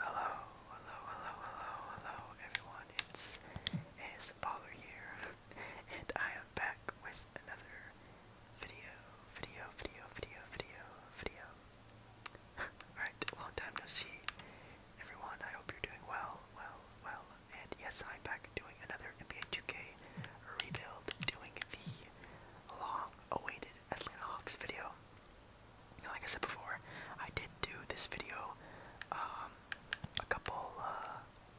Hello, hello, hello, hello, hello, everyone. It's AS Baller here, and I am back with another video, video, video, video, video, video. Alright, long time no see, everyone. I hope you're doing well, well, well. And yes, I'm back doing another NBA 2K rebuild, doing the long-awaited Atlanta Hawks video like I said before, I did do this video um, a couple. Uh,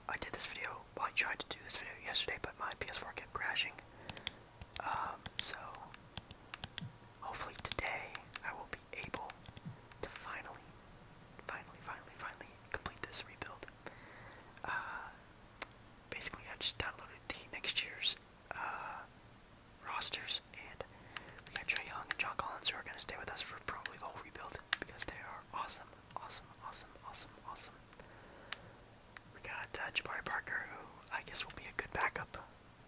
I did this video. I tried to do this video yesterday, but my PS4 kept crashing. Um, so hopefully today I will be able to finally, finally, finally, finally complete this rebuild. Uh, basically, I just downloaded the next year's uh, rosters, and we got Trey Young and John Collins who are gonna stay with us for probably all rebuild because they are awesome, awesome, awesome, awesome, awesome. We got uh, Jabari Parker, who I guess will be a good backup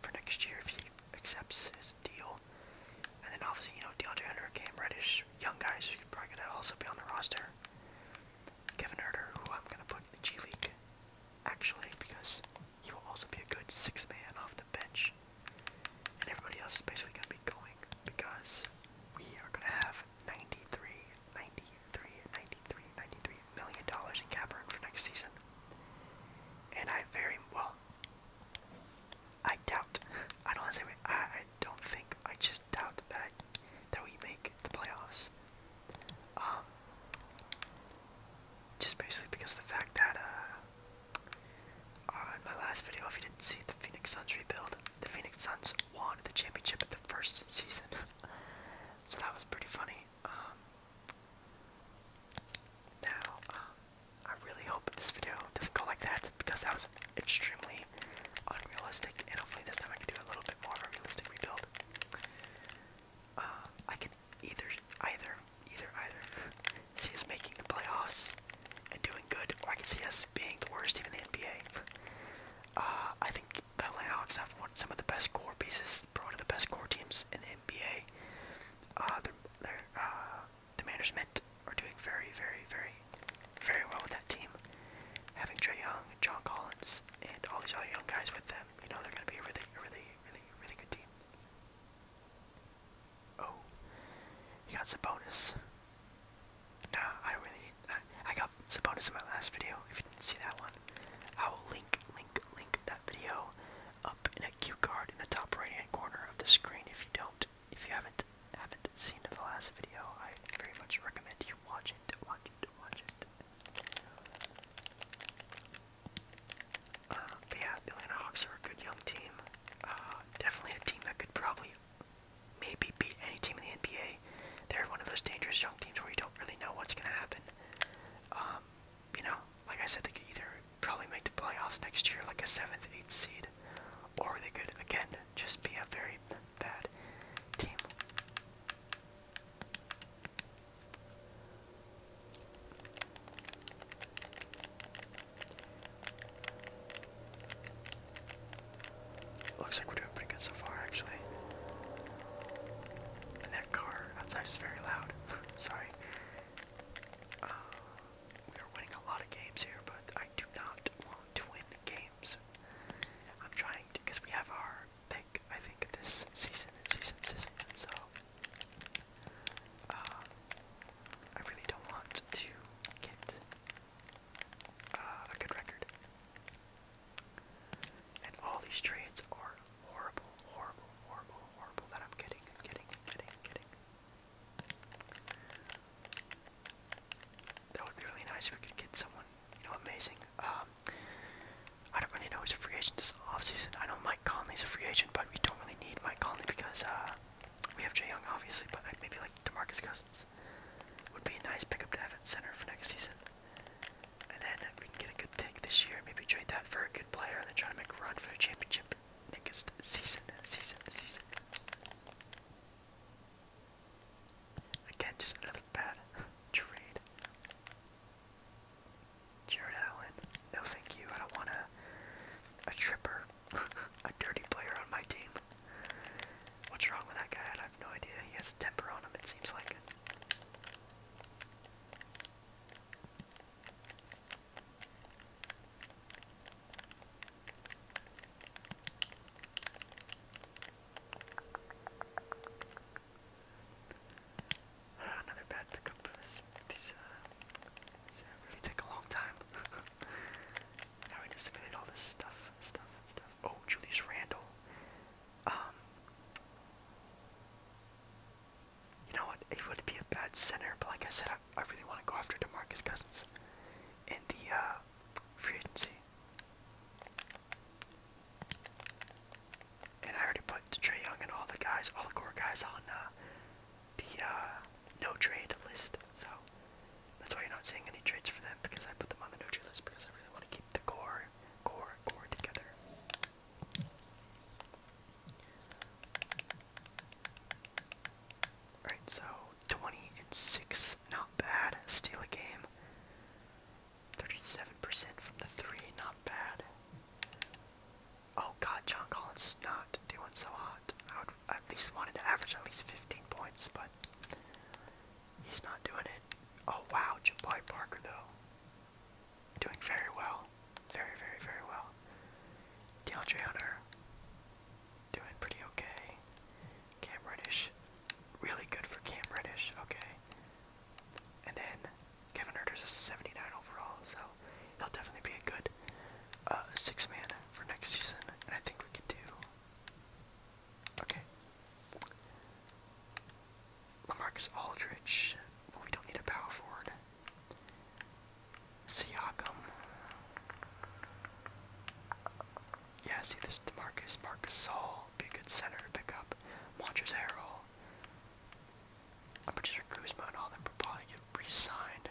for next year if he accepts his deal. And then obviously, you know, DeAndre Hunter, Cam Reddish, young guys who probably gonna also be on the roster. Kevin Herder, who I'm gonna put in the G League, actually, because he will also be a good 6 man off the bench. And everybody else is basically going to be going because we are going to have 93, 93, 93 million dollars in cap room for next season. And I very well, I doubt. I don't want to say I, I don't think. I just doubt that I, that we make the playoffs. Um, just basically because of the fact that uh, uh, in my last video, if you didn't see the Phoenix Suns rebuild, the Phoenix Suns won the championship in the first season, so that was pretty funny. Um, now, um, I really hope this video doesn't go like that because that was extremely unrealistic, and hopefully this time I can do a little bit more of a realistic rebuild. I can either, either, either, either see us making the playoffs and doing good, or I can see us being the worst team in the NBA. Uh, I think the Atlanta Hawks have one, some of the best core pieces, probably one of the best core teams in the NBA. Uh, their, uh, the management are doing very, very, very, very well with that team. Having Trey Young, John Collins, and all these other young guys with them, you know, they're going to be a really, really, really, really good team. Oh, he got Sabonis. Nah, I don't really. Need, I, I got Sabonis in my last video. If you didn't see that one, I will link, link, link that video up in a cue card in the top right-hand corner of the screen. If you don't, if you haven't haven't seen the last video, I very much recommend you watch it. Watch it. Watch it. Um, but yeah, the Atlanta Hawks are a good young team. Uh, definitely a team that could probably maybe beat any team in the NBA. They're one of those dangerous young teams where you don't really know what's going to happen. Um, you know, like I said, they could either probably make the playoffs next year, like a 7th, 8th seed, or they could, again, just be a very bad team. Looks like we're doing pretty good so far, actually. And that car outside is very loud. Sorry. Uh, we are winning a lot of games here, but I do not want to win games. I'm trying because we have our pick, I think, this season season, season, so uh, I really don't want to get uh, a good record. And all these trades are horrible, horrible, horrible, horrible that I'm getting, getting, getting, getting. That would be really nice if we could get someone, you know, amazing. Um, I don't really know who's a free agent this off season. I know Mike Conley's a free agent, but we don't really really need Mike Conley because uh, we have Jay Young, obviously, but I'd maybe like DeMarcus Cousins would be a nice pickup to have at center for next season. And then if we can get a good pick this year, maybe trade that for a good player and then try to make a run for the championship next season, season, season. Again, just another bad trade. Jared Allen, no thank you. I don't want a, a tripper, a dirty player on my team. What's wrong with that guy? I have no idea. He has a temper on him, it seems like another bad pickup These, uh, these uh, really take a long time. How we just all this stuff, stuff. Oh, Julius Randall. Um, you know what? It would be a bad center, but like I said, I, I really want to go after DeMarcus Cousins in the uh, free agency. And I already put Trey Young and all the guys, all the core guys on uh, the uh, no trade list. So that's why you're not seeing any trades for them because I put them on the no trade list because I really want to keep the core, core, core together. Alright, so 20 and 6, not bad. Steal a game. 37% from the 3, not bad. Oh God, John Collins is not doing so hot. I would at least wanted to average at least 15 points, but he's not doing it. Oh wow, Jabari Parker though, doing very well, very very very well. DeAndre Hunter doing pretty okay. Cam Reddish, really good for Cam Reddish. Okay, and then Kevin Herter's a 79 overall, so he'll definitely be a good uh, six man for next season, and I think we could do okay. Lamarcus Aldridge, but we don't need a power forward. Siakam. Yeah, see this Demarcus, Marcus Saul, be a good center to pick up. Montrezl Harrell. I'm pretty sure Kuzma and all them will probably get re-signed.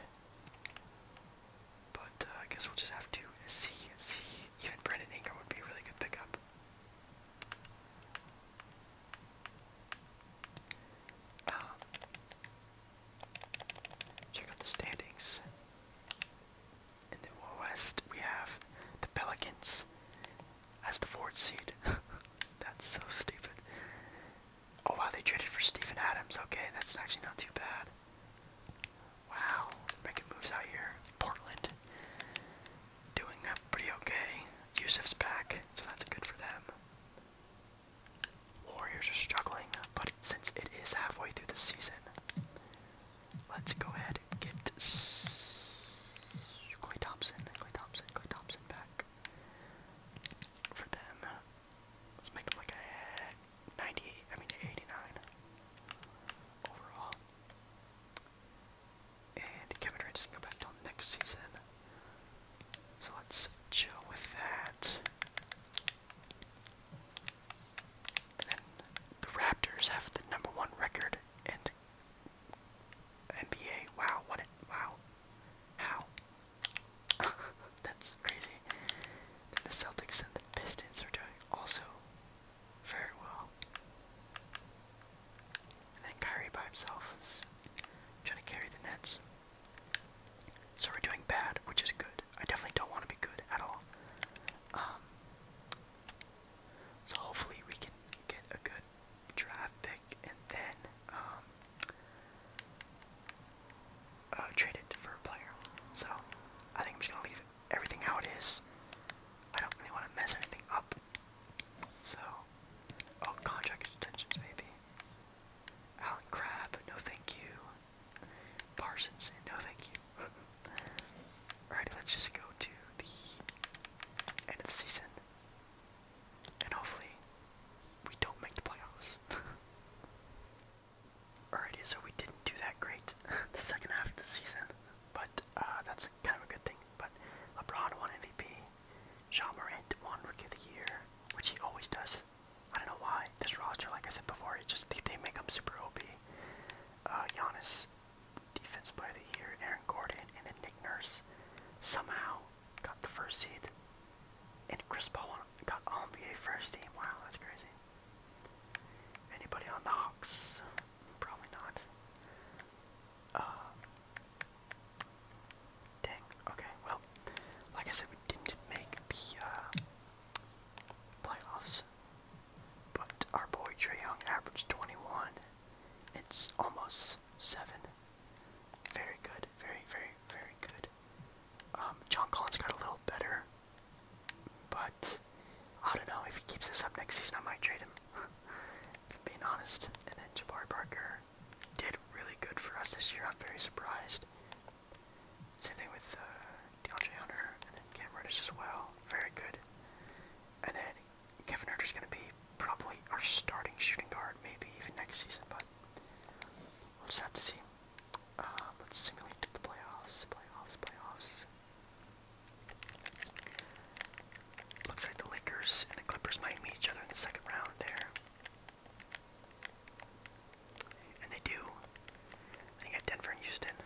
But uh, I guess we'll just have to see. See, even Brendan Ingram would be a really good pickup. Um, check out the standings. In the West, we have the Pelicans as the fourth seed. That's so stupid. Oh wow, they traded for Stephen Adams. Okay, that's actually not too bad. Wow, making moves out here. Portland doing pretty okay. Yusuf's back, so that's good for them. Warriors are struggling, but since it is halfway through the season, let's go ahead and get Clay Thompson, Clay Thompson, Clay Thompson back for them. Let's make it like a 98, I mean 89 overall. And Kevin Durant doesn't go back till next season. So let's chill with that. And then the Raptors have the number one record in the NBA. Wow, what wow. How? That's crazy. the Celtics and the Pistons are doing also very well. And then Kyrie by himself trying to carry the Nets. So we're doing bad, which is good. I definitely don't want to be good at all. Um, so hopefully we can get a good draft pick and then um, uh, trade it for a player. So I think I'm just gonna leave everything how it is. I don't really want to mess anything up. So, oh, contract extensions maybe. Alan Crabb, no thank you. Parsons, no thank you. Alright, let's just go to the end of the season. And hopefully we don't make the playoffs. Alrighty, so we didn't do that great the second half of the season, but uh, that's kind of a good thing. But LeBron won MVP, Jean Morant won Rookie of the Year, which he always does. I don't know why. This roster, like I said before, just they, make him super OP. Uh, Giannis, Defense Player of the Year, Aaron Gordon, and then Nick Nurse somehow got the first seed. And Chris Paul got all NBA first team. Wow, that's crazy. Anybody on the Hawks? Probably not. Uh, dang. Okay. Well, like I said, we didn't make the uh, playoffs, but our boy Trey Young averaged 21. It's almost seven. Very good. Very, very, very good. Um, John Collins got a little better, but I don't know. If he keeps this up next season, I might trade him. being honest. And then Jabari Parker did really good for us this year. I'm very surprised. Same thing with uh, DeAndre Hunter and then Cam Reddish as well. Very good. And then Kevin Herter's going to be probably our starting shooting guard, maybe even next season, but we'll just have to see. Um, let's simulate the playoffs, playoffs, playoffs. Looks like the Lakers and the Clippers might meet each other in the second round there. And they do. Then you got Denver and Houston.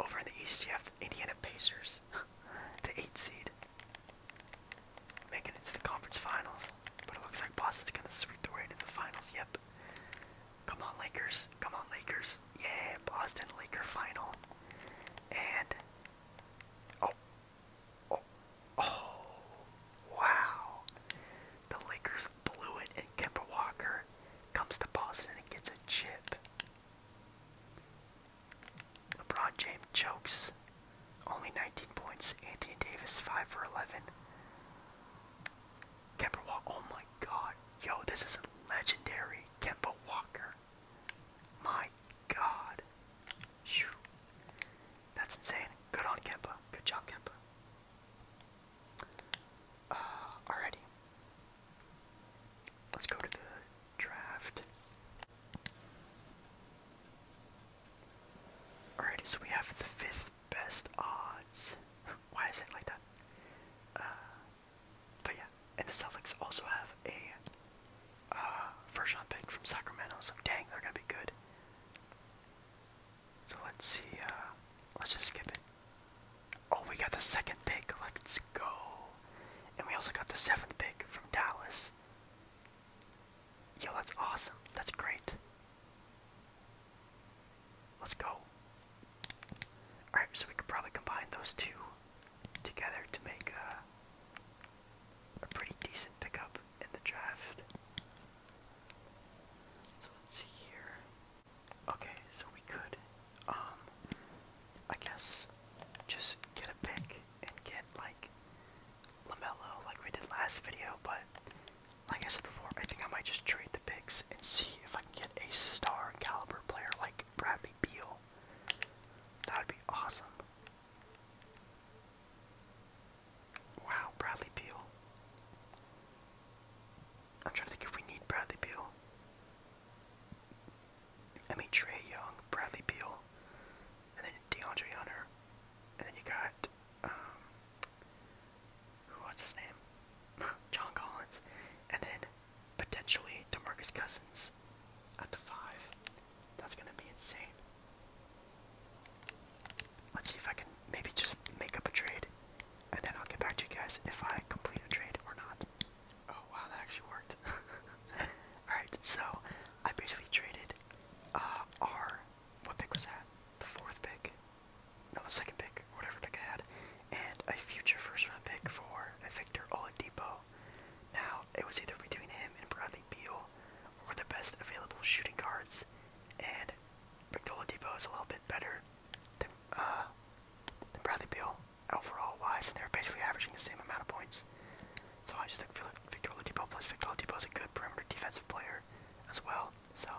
Over in the East, you have the Indiana Pacers, the 8 seed. Making it to the conference finals. But it looks like Boston's gonna sweep the way to the finals. Yep. Come on, Lakers. Come on, Lakers. Yeah, Boston Laker final. And oh, oh, oh, wow! The Lakers blew it, and Kemba Walker comes to Boston and gets a chip. LeBron James chokes. Only 19 points. Anthony Davis, 5 for 11. Kemba Walker. Oh my god. Yo, this is legendary. Kemba Walker. My god. That's insane. Good on Kemba. Good job, Kemba. Uh, Let's go to the draft. Alrighty, so we have the fifth best odds. Why is it like that? Uh, but yeah, and the Celtics also have a uh, first pick from Sacramento, so dang, they're gonna be good. So let's see, uh, let's just skip it. Oh, we got the second pick, let's go. And we also got the seventh pick from Dallas. Yo, that's awesome. That's great. Let's go. Alright, so we could probably combine those two together to make a, pretty decent pickup in the draft. So let's see here. Okay, so we could um I guess just get a pick and get like Lamelo, like we did last video. But like I said before, I think I might just trade the picks and see if I can get a star caliber player like Bradley Beal. That would be awesome. Wow, Bradley Beal. I'm trying to think if we need Bradley Beal. I mean, Trey Young, Bradley Beal and then DeAndre Hunter, and then you got um, who what's his name, John Collins, and then potentially DeMarcus Cousins at the five. That's gonna be insane. Let's see if I can maybe just make up a trade, and then I'll get back to you guys if I complete a trade or not. Oh wow, that actually worked. Alright, so I basically traded uh, our. What pick was that? The fourth pick? No, the second pick, whatever pick I had, and a future first round pick for Victor Oladipo. Now, it was either between him and Bradley Beal were the best available shooting guards, and Victor Oladipo is a little bit better than, uh, than Bradley Beal overall wise, and they're basically averaging the same amount of points. So I just took Victor Oladipo, plus Victor Oladipo is a good perimeter defensive player as well. So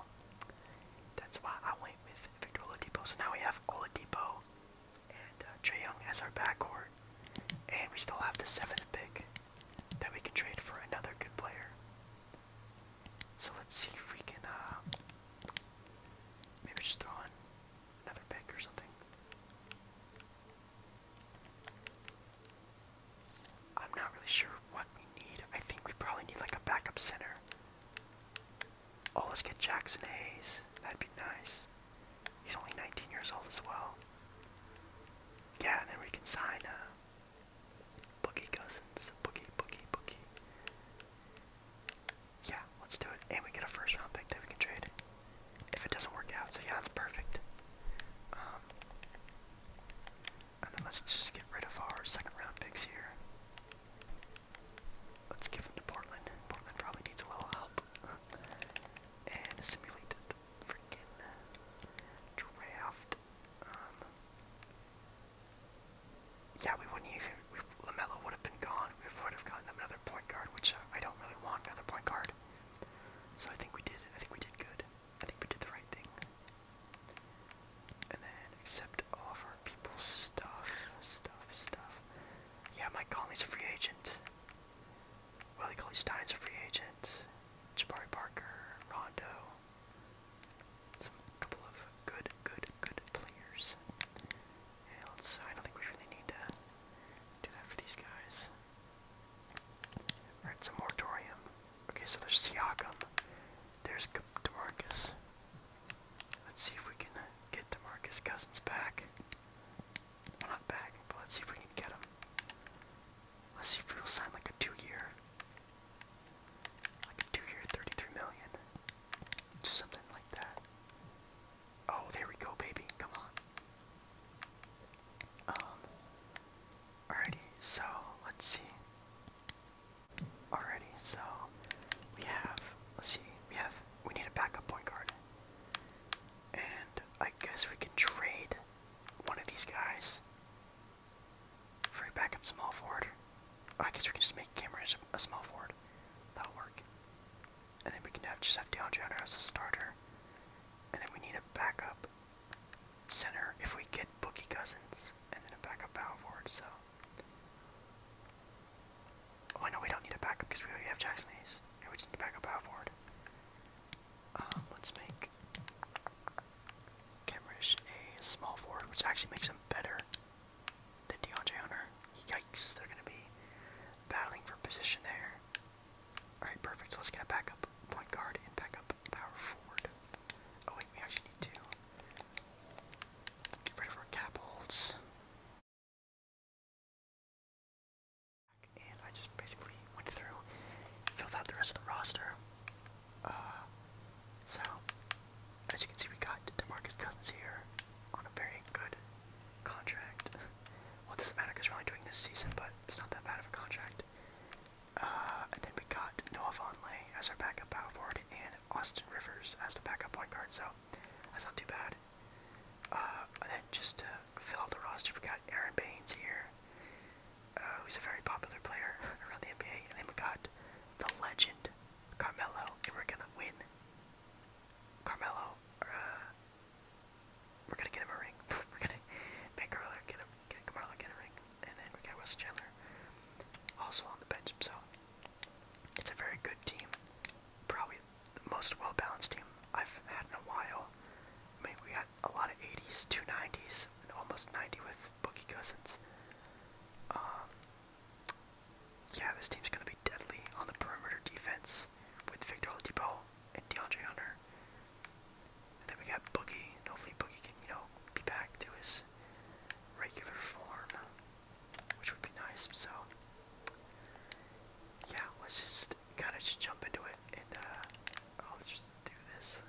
that's why I went with Victor Oladipo. So now we have Oladipo and uh, Young as our backcourt. And we still have the seventh pick that we can trade for another good player. So let's see if we can uh, maybe just throw in another pick or something. I'm not really sure what we need. I think we probably need like a backup center. Oh, let's get Jackson Hayes. That'd be nice. He's only 19 years old as well. Yeah, and then we can sign uh, Boogie Cousins. Boogie, Boogie, Boogie. Yeah, let's do it. And we get a first round pick that we can trade if it doesn't work out. So yeah, that's perfect. Um, and then let's just get rid of our second round picks here. Let's give them to Portland. Portland probably needs a little help. and simulate the freaking draft. Um, yeah, we wouldn't even. Lamelo would have been gone. We would have gotten another point guard, which uh, I don't really want another point guard. So I think we did. I think we did good. I think we did the right thing. And then accept all of our people's stuff, stuff, stuff. Yeah, Mike Conley's a free agent. Willie Colley Stein's a free agent. Jabari Parker, Rondo. Some couple of good, good, good players. Yeah, let I don't think we really need to do that for these guys. Alright, so Moratorium. Okay, so there's Siakam. There's DeMarcus. Let's see if we can uh, get DeMarcus Cousins back. not back, but let's see if we can get him. Let's see if we'll sign like a two-year. Like a two-year, 33 million. Just something like that. Oh, there we go, baby. Come on. Um, alrighty, so let's see. Alrighty, so we have, let's see, we have, we need a backup point guard. And I guess we can trade one of these guys for a backup small forward. Oh, I guess we can just make Cameron a small forward. That'll work. And then we can have, just have DeAndre Hunter as a starter. And then we need a backup center if we get Bookie Cousins, and then a backup power forward, so. Oh, no, we don't need a backup because we already have Jacksons. Hayes. Yeah, we just need a backup power forward. Um, let's make Camerish a small forward, which actually makes him better than DeAndre Hunter. Yikes, they're going to be battling for position there. Alright, perfect. So let's get a backup point guard and backup power forward. Oh wait, we actually need to get of our cap holds. And I just basically went through, filled out the rest of the roster. Uh, so, as you can see, we got DeMarcus Cousins here on a very good contract. well, it doesn't matter because we're only doing this season, but it's not that bad of a contract. Uh, and then we got Noah Vonleh as our backup power forward and Austin Rivers as the backup point guard, so that's not too bad. Uh, and then just to fill out the roster, we got Aaron Baines here, who's uh, a very popular player around the NBA, and then we got the legend Carmelo, and we're gonna win Carmelo. We're gonna get him a ring. we're gonna make Carmelo get him, get Carmelo get a ring, and then we got West Chandler also on the bench. So it's a very good team, probably the most well balanced team I've had in a while. I mean, we got a lot of 80s, two 90s, and almost 90 with Boogie Cousins. Um, yeah, this team's gonna be deadly on the perimeter defense with Victor Oladipo and DeAndre Hunter. And then we got Boogie. hopefully Boogie can, you know, be back to his regular form. Which would be nice, so yeah, let's just kinda just jump into it and uh I'll just do this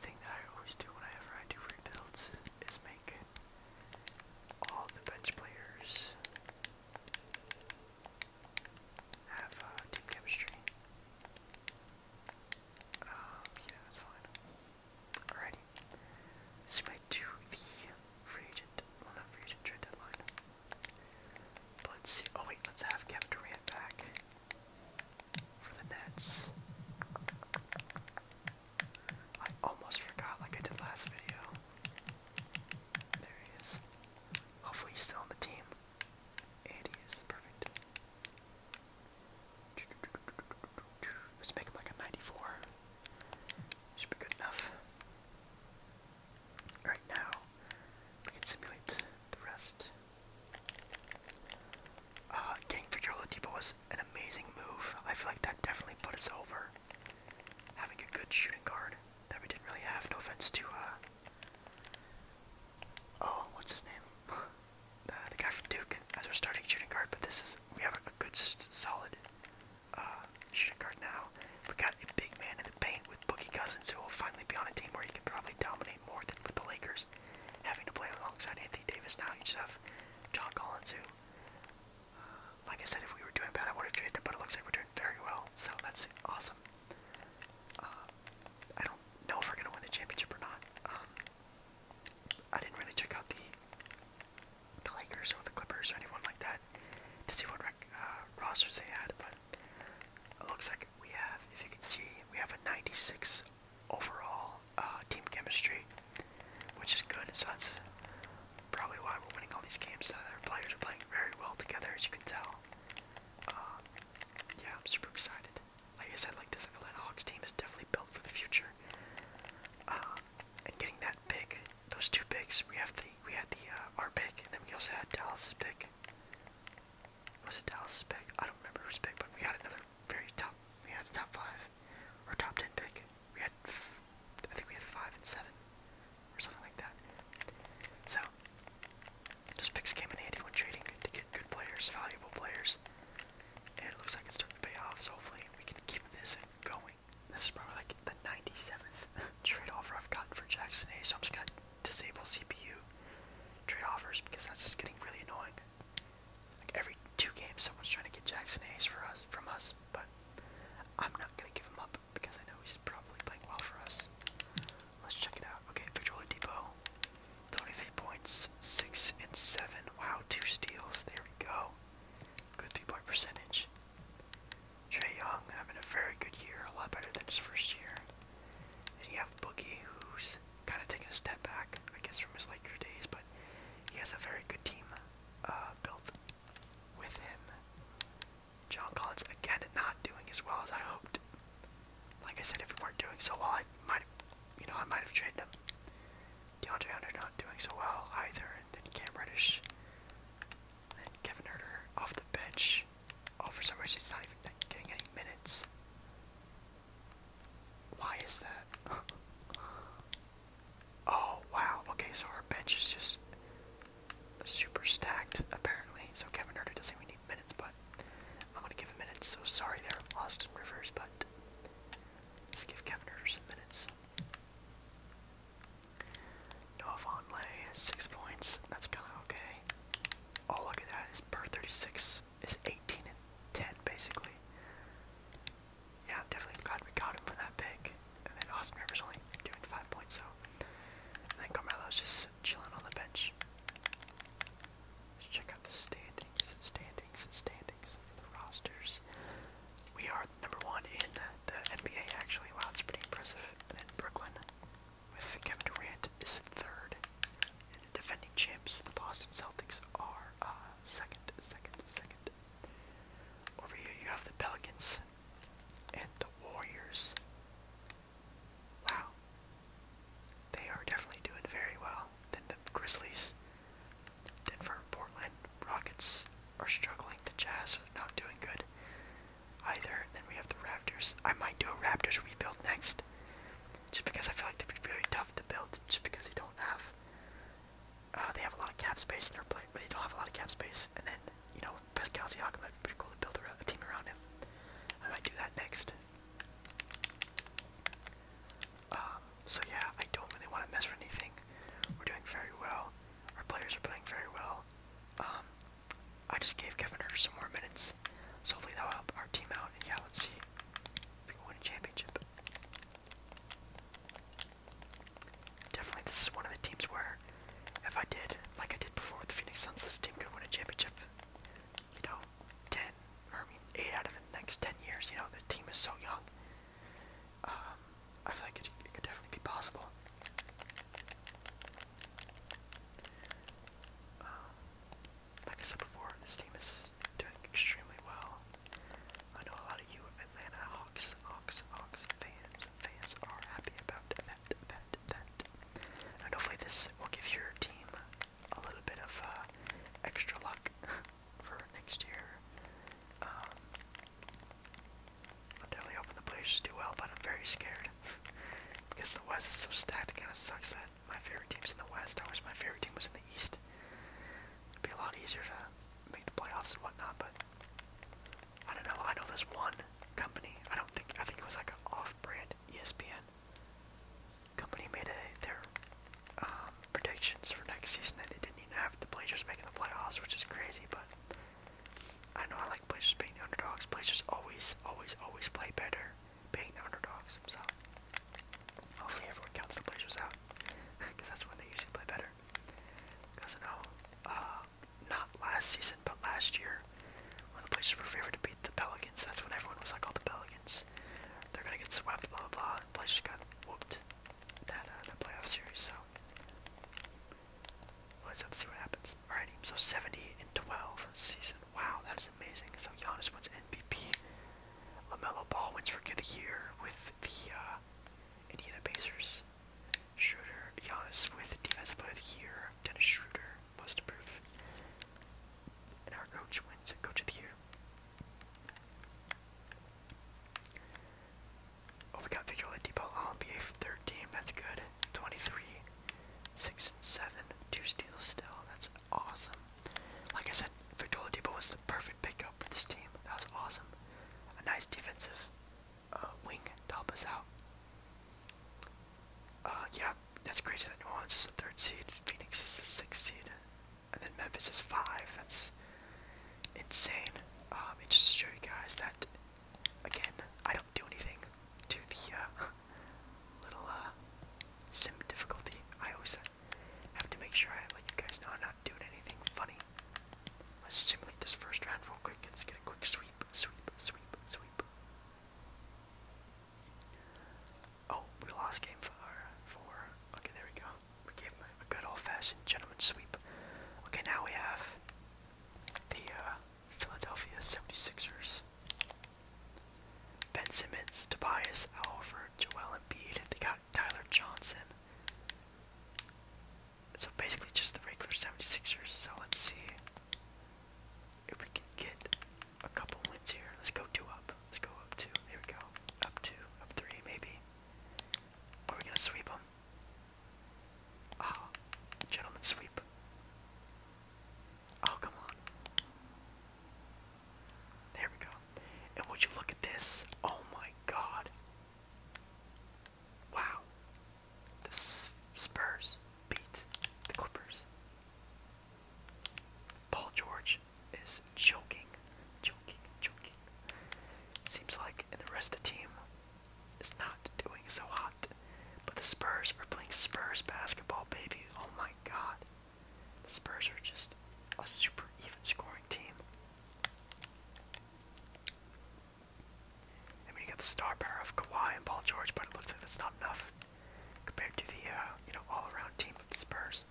thing that I always do whenever I do rebuilds is make all the bench players have uh, team chemistry. Um, yeah, that's fine. Alrighty. Submit to the free agent. Well, not free agent, trade deadline. let's see. Oh, wait, let's have Kevin Durant back for the Nets. I almost forgot, like I did last video. There he is. Hopefully, he's still on the team. 80s, perfect. Let's make him like a 94. Should be good enough. Alright, now we can simulate the, rest. Uh, for Yolo Depot was an amazing move. I feel like that definitely put us over. Having a good shooting guard that we didn't really have, no offense to uh, Oh, what's his name? uh, the guy from Duke as our starting shooting guard. But this is we have a, a good, solid uh, shooting guard now. We got a big man in the paint with Boogie Cousins, who will finally be on a team where he can probably dominate more than with the Lakers, having to play alongside Anthony Davis. Now you just have John Collins, who, uh, like I said, if we were doing bad, I would have traded him. But it looks like we're doing very well, so that's awesome. Uh, I don't know if we're gonna win the championship or not. Um, I didn't really check out the the Lakers or the Clippers or anyone like that to see what uh, rosters they had, but it looks like we have, if you can see, we have a 96 overall uh, team chemistry, which is good. So that's probably why we're winning all these games. That our players are playing very well together, as you can tell. Um, yeah, I'm super excited. Like I said, like this Atlanta Hawks team is definitely built for the future. Um, and getting that pick, those two picks, we have the we had the uh, our pick, and then we also had Dallas's pick. Was it Dallas's pick? I don't remember whose pick, but we got another very top. We had a top five or top ten pick. We had, I think we had five and seven or something like that. So those picks came in handy when trading to get good players, valuable players. And it looks like it's starting to pay off, so hopefully we can keep this going. This is probably like the 97th trade offer I've gotten for Jackson A, so I'm just gonna disable CPU trade offers because that's just getting really annoying. Like every two games, someone's trying to get Jackson A's for us, from us, but I'm not gonna give him up because I know he's probably playing well for us. Let's check it out. Okay, Victor Oladipo, 23 points, 6 and 7. Wow, two steals. There we go. Good three-point percentage. Trey Young having a very good year, a lot better than his first year. And you have Boogie, who's kind of taking a step back, I guess, from his Laker days, but he has a very good team uh, built with him. John Collins, again, not doing as well as I hoped like I said, if we weren't doing so well, I might, you know, I might have traded him. DeAndre Hunter not doing so well either, and then Cam Reddish, and then Kevin Herter off the bench. Oh, for some reason, he's not even getting any minutes. Why is that? oh, wow. Okay, so our bench is just super stacked, apparently. So Kevin Herter doesn't even need minutes, but I'm gonna give a minute. so sorry there, Austin Rivers, but let's give Kevin Herter some minutes. Noah Vonleh, six points. That's kinda okay. Oh look at that! Is per 36 is 18 and 10 basically. Yeah, I'm definitely glad we got him for that pick. And then Austin Rivers only doing five points, so and then Carmelo's just just chilling on the bench. Let's check out the standings, standings, standings of the rosters. We are number one in the NBA, actually. Wow, it's pretty impressive. And then Brooklyn, with Kevin Durant, is third. And the defending champs, the Boston Celtics, are uh, second, second, second. Over here, you have the Pelicans and the Warriors. Wow. They are definitely doing very well. Then the Grizzlies. Denver and Portland Rockets are struggling. The Jazz are not doing good either. Then we have the Raptors. I might do a Raptors rebuild next. Just because I feel like they'd be very tough to build just because they don't have uh, they have a lot of cap space in their play but they don't have a lot of cap space and then, you know, Pascal Siakam that'd be pretty cool to build a team around him. I might do that next. Um, so yeah, I don't really want to mess with anything. We're doing very well. Our players are playing very well. Um, I just gave Kevin some more minutes, so hopefully that'll help our team out. And yeah, let's see if we can win a championship. Definitely, this is one of the teams where, if I did like I did before with the Phoenix Suns, this team could win a championship. You ten, or I mean eight out of the next ten years. You know, the team is so young. Um, I feel like it, it could definitely be possible. Um, like I said before, this team is doing extremely well. I know a lot of you Atlanta Hawks, Hawks, Hawks fans, fans are happy about that, that, that. And hopefully this will give your team a little bit of uh, extra luck for next year. Um, I'm definitely hoping the Blazers do well, but I'm very scared because the West is so stacked. It kind of sucks that my favorite team's in the West. I my favorite team was in the East. It'd be a lot easier to make the playoffs and whatnot, but I don't know. I know there's one company. I don't think. I think it was like an off-brand ESPN company made a, their um, predictions for next season and they didn't even have the Blazers making the playoffs, which is crazy, but I know I like Blazers being the underdogs. Blazers always, always, always play better being the underdogs, so hopefully everyone counts the Blazers out, because that's when they usually play better. Because I know, uh, not last season, but last year, when the Blazers were favored to beat the Pelicans, that's when everyone was like, all oh, the Pelicans, they're gonna get swept, blah, blah, blah. The Blazers got whooped that, uh, that playoff series, so. Let's have to see what happens. Alrighty, so 70 and 12 season. Wow, that is amazing. So Giannis wins MVP. LaMelo Ball wins Rookie of the Year with the uh, Indiana Pacers. Schroeder, Giannis with Defensive Player of the Year. Dennis Schroeder most approved. And our coach wins Coach of the Year. Oh, we got Victor Oladipo, All-NBA third team. That's good. 23, 6 and 7, two steals still. That's awesome. Like I said, Victor Oladipo was the perfect pickup for this team. That was awesome. A nice defensive uh, wing to help us out. Uh, yeah, that's crazy that New Orleans is a third seed, Phoenix is a sixth seed, and then Memphis is five. That's insane. Um, just to show you guys that, again, I don't do anything to the uh, little uh, sim difficulty. I always have to make sure I let you guys know I'm not doing anything funny. Let's simulate this first round real quick. Let's get a quick sweep, sweep, sweep, sweep. Oh, we lost game four. Four. Okay, there we go. We gave him a good old-fashioned gentleman sweep. Okay, now we have the uh, Philadelphia 76ers. Ben Simmons, Tobias Alford, Joel Embiid. They got Tyler Johnson. So basically just the regular 76ers. So let's see if we can get a couple wins here, let's go two up. Let's go up two. Here we go. Up two, up three, maybe. Are we gonna sweep them? oh, ah, gentlemen, sweep. Oh, come on. There we go. And would you look at this? Oh my God. Wow. The Spurs beat the Clippers. Paul George is choking, choking, choking. Seems like and the rest of the team is not doing so hot. But the Spurs are playing Spurs basketball, baby. Oh my god. The Spurs are just a super even scoring team. I mean, got the star power of Kawhi and Paul George, but it looks like that's not enough compared to the uh, you know all-around team of the Spurs.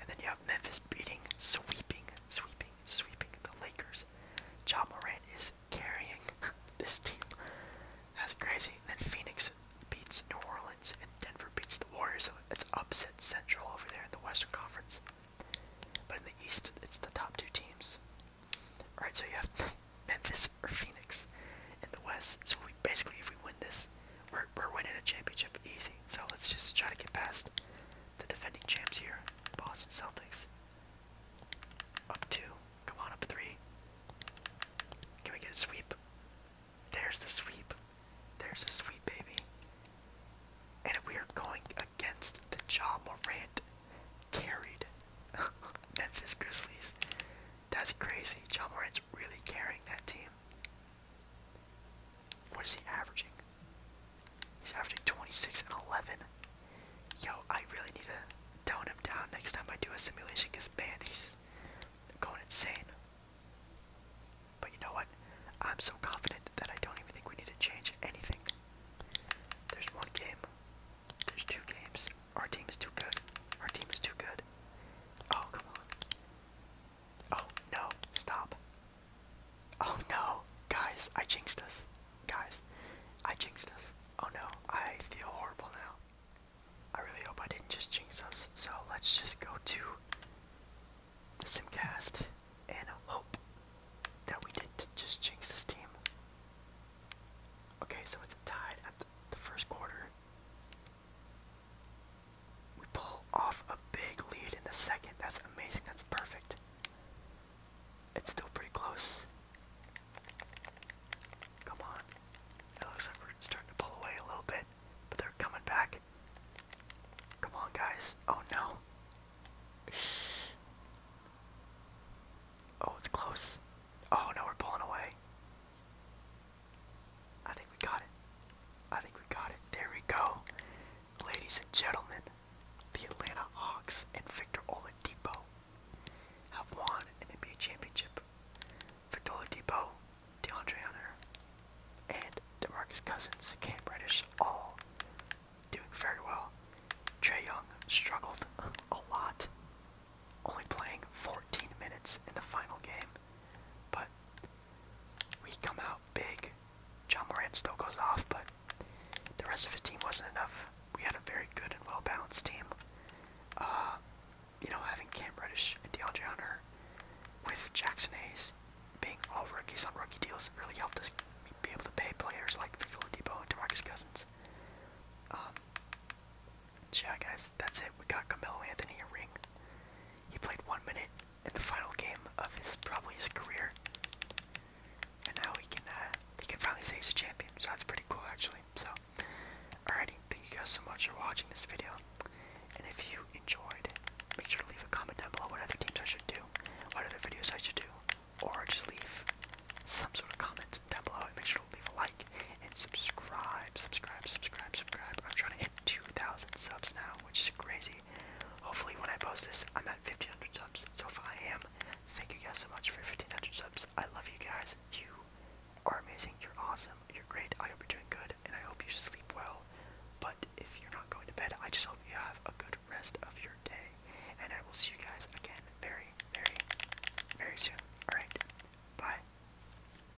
And then you have Memphis beating, sweeping, sweeping, sweeping the Lakers. John Morant is carrying this team. That's crazy. then Phoenix beats New Orleans, and Denver beats the Warriors. So it's upset central over there in the Western Conference. But in the East, it's the top two teams. All right, so you have Memphis or Phoenix in the West basically if we win this, we're we're winning a championship easy. So let's just try to get past the defending champs here, Boston Celtics. Up two, come on, up three. Can we get a sweep? There's the sweep. There's the sweep, baby. And we are going against the John Morant carried That's his Grizzlies. That's crazy. John Morant's really carrying that team? What is he averaging? He's averaging 26 and 11. Yo, I really need to tone him down next time I do a simulation because, man, he's going insane. But you know what? I'm so confident that I don't even think we need to change anything. There's one game. There's two games. Our team is too good. Our team is too good. Oh, come on. Oh no, stop. Oh no, guys, I jinxed us. Guys, I jinxed us. Oh no, I feel horrible now. I really hope I didn't just jinx us. So let's just go to the simcast and hope that we didn't just jinx this team. Okay, so it's tied at the first quarter. We pull off a big lead in the second. That's amazing. That's perfect. It's still pretty close. Come on. It looks like we're starting to pull away a little bit, but they're coming back. Come on, guys. Oh, no. Oh, it's close. Oh, no, we're pulling away. I think we got it. I think we got it. There we go. Ladies and gentlemen, the Atlanta Hawks and Victor Oladipo have won an NBA championship. Victor Oladipo, DeAndre Hunter, and DeMarcus Cousins, Cam Reddish, all doing very well. Trey Young struggled a lot, only playing 14 minutes in the final game. But we come out big. John Morant still goes off, but the rest of his team wasn't enough. We had a very good and well-balanced team. Uh, you know, having Cam Reddish and DeAndre Hunter with Jackson Hayes being all rookies on rookie deals really helped us be able to pay players like Victor Oladipo and DeMarcus Cousins. Um, yeah, guys, that's it. We got Camilo Anthony a ring. He played one minute in the final game of his probably his career, and now he can uh, he can finally say he's a champion. So that's pretty cool, actually. So, alrighty, thank you guys so much for watching this video, and if you enjoyed, make sure to leave a comment down below what other teams I should do, what other videos I should do, or just leave some sort of comment down below and make sure to leave a like and subscribe, subscribe, subscribe, subscribe. I'm trying to hit 2,000 subs now, which is crazy. Hopefully, when I post this, I'm at 1,500 subs. So if I am, thank you guys so much for 1,500 subs. I love you guys. You are amazing. You're awesome. You're great. I hope you're doing good, and I hope you sleep well. But if you're not going to bed, I just hope you have a good rest of your day. And I will see you guys again very, very, very soon. Alright, bye.